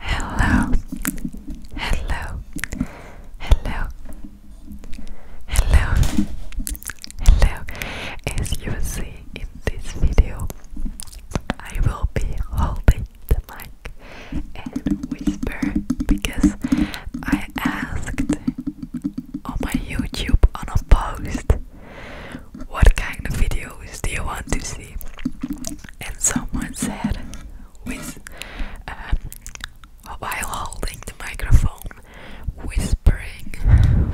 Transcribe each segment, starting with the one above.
Hello, hello, hello, hello, hello. As you see in this video, I will be holding the mic and whisper because I asked on my YouTube on a post what kind of videos do you want to see? And someone said, with um, while holding the microphone, whispering,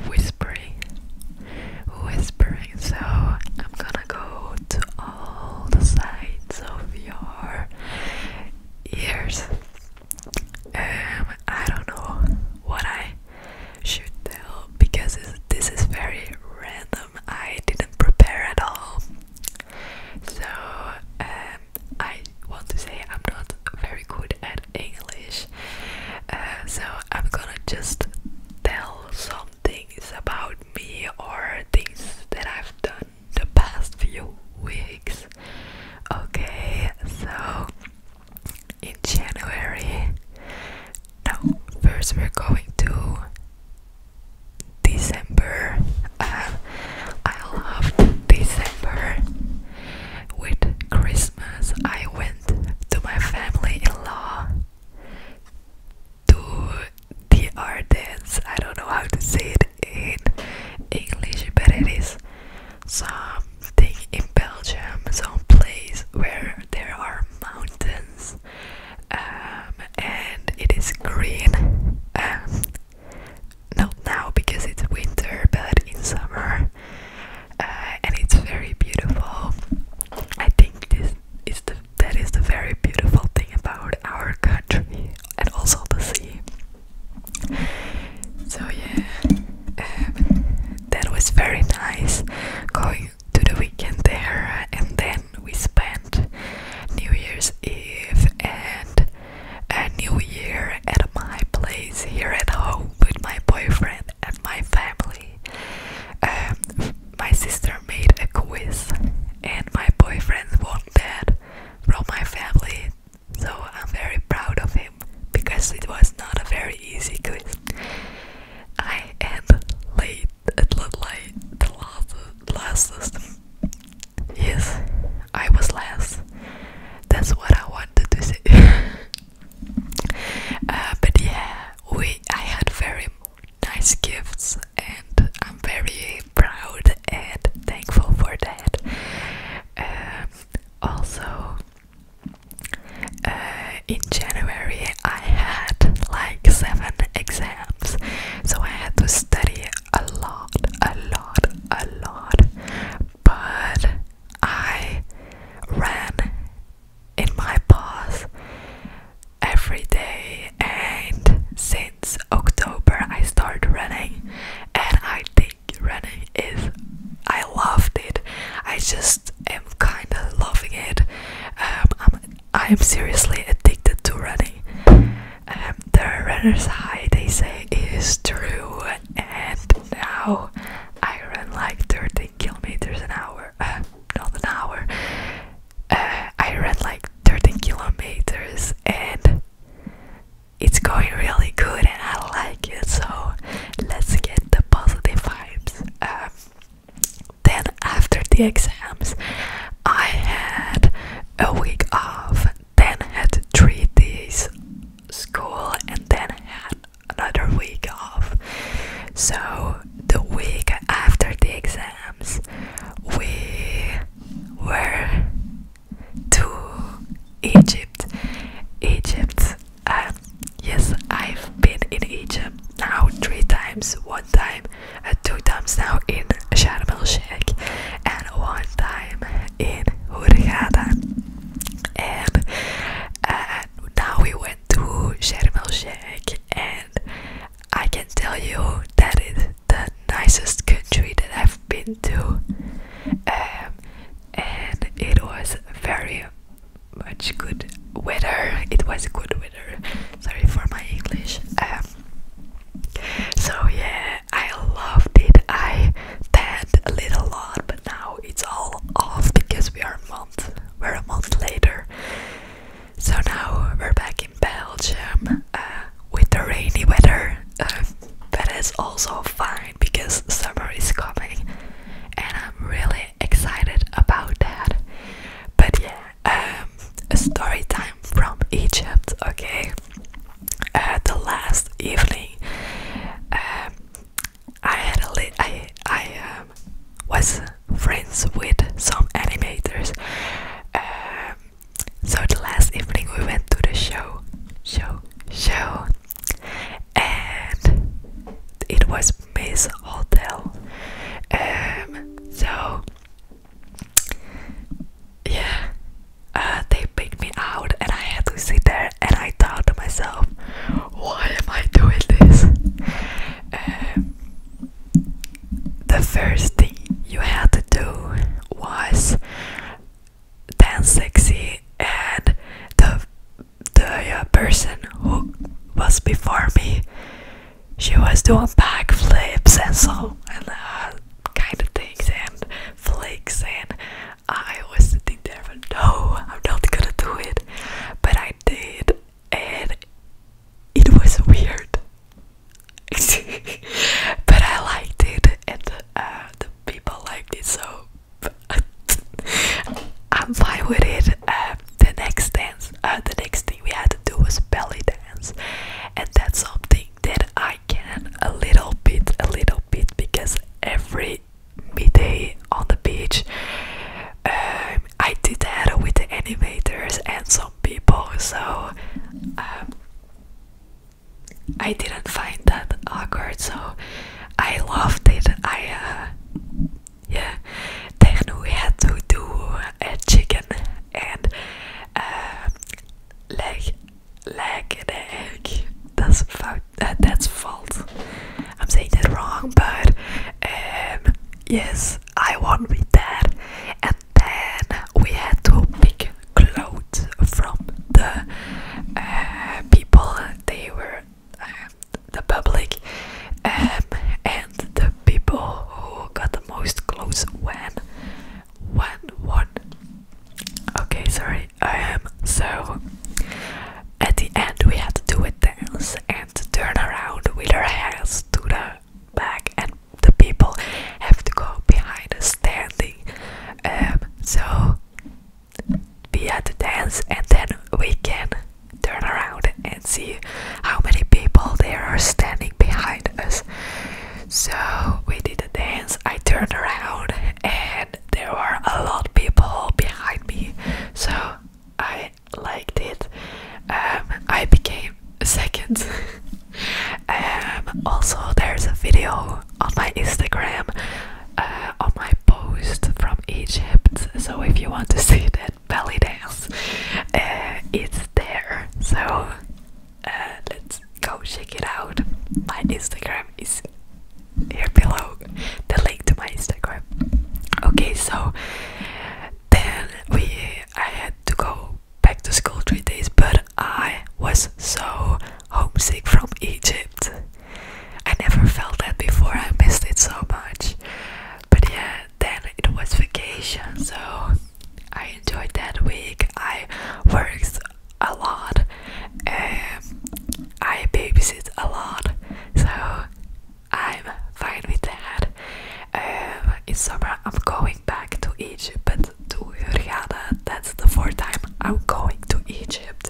whispering, whispering. So I'm gonna go to all the sides of your ears. Um, I don't know what I should tell because this is very random. I didn't prepare at all. So, um, I want to say I'm not very good at English. Uh, so, I'm gonna just tell some things about me or things that I've done the past few weeks. Okay, so in January now first we're going to December. Uh, I love December. With Christmas, I went to my family-in-law to the Ardennes. I don't know how to say it in English, but it is something in Belgium, some place where there are mountains. Um, and it is green. Um, not now because it's winter, but in summer, uh, and it's very beautiful. I think this is the that is the very beautiful thing about our country and also the sea. So yeah, um, that was very nice going to the weekend there, and then we spent New Year's Eve and a New Year at my place here at home with my boyfriend and my family. Um, my sister made a quiz, and my boyfriend won that from my family. So I'm very proud of him because it was not a very easy quiz. I am late It the like the last last system. Yes, I was last. That's what I wanted to say. Uh, but yeah, we I had very nice gifts and I'm very proud and thankful for that. Um, also, uh, in January I had like seven exams, so I had to study a lot, a lot, a lot. But I ran in my path every day, and since October I started running, and I think running is I loved it. I just i am kind of loving it. Um, I'm, I am seriously addicted to running. Um, the runner's high, they say, is true, and now I run like 13 kilometers an hour. Uh, not an hour. Uh, I run like 13 kilometers, and it's going really good, and I like it. So let's get the positive vibes. Um, then after the exams, I had a week off. Then had three days school, and then had another week off. So the week after the exams, we were to Egypt. Egypt yes, I've been in Egypt now three times. One time, uh, two times now in Sharm el Sheikh, and one time in Hurghada. And uh, now we went to Sharm el Sheikh, and I can tell you that it's the nicest country that I've been to. Um, and it was very much good weather. It was good weather. Sorry for my English. Um, so yeah, I loved it. I pet a little lot, but now it's all off because we are a month. We're a month later. So now we're back in Belgium uh, with the rainy weather. Uh, that is also fine. Because summer is coming and I'm really excited about that. But yeah, um, a story time from Egypt, okay? Uh, the last evening, um, I had a li I I um, was friends with some animators. so the last evening we went to the show, show, show, and it was Miss Hotel. Um, so yeah, uh, they picked me out, and I had to sit there. And I thought to myself, why am I doing this? Um, the first thing you had to do was dance sexy, and the the uh, person who was before me, she was doing backflips and so and uh, kind of things and flicks and I was sitting there but no, I'm not gonna do it, but I did and it was weird. but I liked it and uh, the people liked it so I'm fine with it. Uh, the next dance, uh, the next thing we had to do was belly dance, and that's something that I can a little bit, a little bit, because every midday on the beach, um, I did that with the animators and some people. So um, I didn't find that awkward, so I loved it. I, uh, yeah, Techno had to do a chicken and uh, leg, leg and egg. That's fault. Uh, that's fault. I'm saying that wrong, but um, yes, I won with that. And then we had to pick clothes from the uh, people. They were uh, the public, um, and the people who got the most clothes when when won. Okay, sorry. I am so at the end we had to do a dance and turn around with our hands to the back and the people have to go behind the standing um, so we had a dance and then we can turn around and see how many people there are standing behind us. So we did a dance, I turned around and there were a lot of people behind me. So I liked it. Um, I became second. um, also, there's a video on my Instagram uh, on my post from Egypt. So if you want to see that belly dance, uh, it's there. So uh, let's go check it out. My Instagram is here below. The link to my Instagram. Okay, so then we I had to go back to school three days, but I was so homesick from Egypt. I never felt that before, I missed it so much. But yeah, then it was vacation, so I enjoyed that week. I worked a lot, um, I babysit a lot, so I'm fine with that. Um, in summer, I'm going back to Egypt, to Hurghada. That's the fourth time I'm going to Egypt.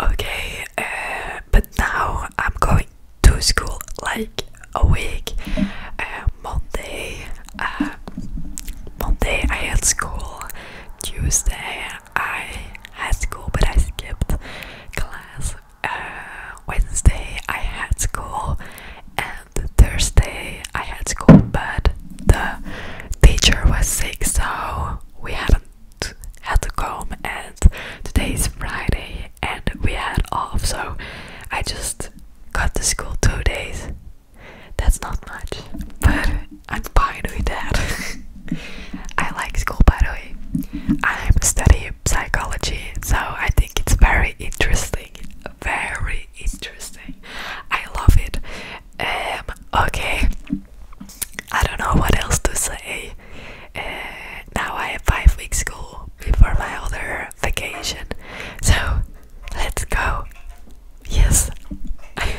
Okay, uh, but now I'm going to school like a week. Uh, Monday, uh, Monday I had school. Tuesday I had school, but I skipped class. Wednesday I had school, Thursday I had school, but the teacher was sick, so we haven't had to come. And today is Friday, and we had off, so I just got to school two days. That's not much, but I'm fine with that. I like school, by the way. i study psychology, so I think it's very interesting very interesting. I love it. Um, okay, I don't know what else to say. Uh, now I have five weeks school before my other vacation, so let's go. Yes.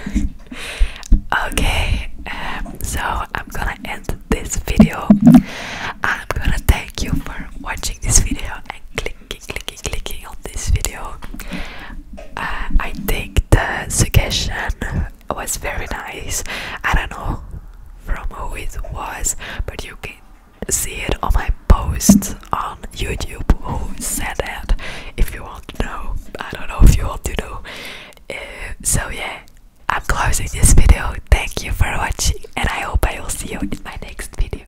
okay, um, so I'm gonna end this video. I'm gonna thank you for watching this video and click clicking, clicking on this video. Uh, I think the suggestion was very nice. I don't know from who it was, but you can see it on my post on YouTube who said that if you want to know. I don't know if you want to know. Uh, so, yeah, I'm closing this video. Thank you for watching, and I hope I will see you in my next video.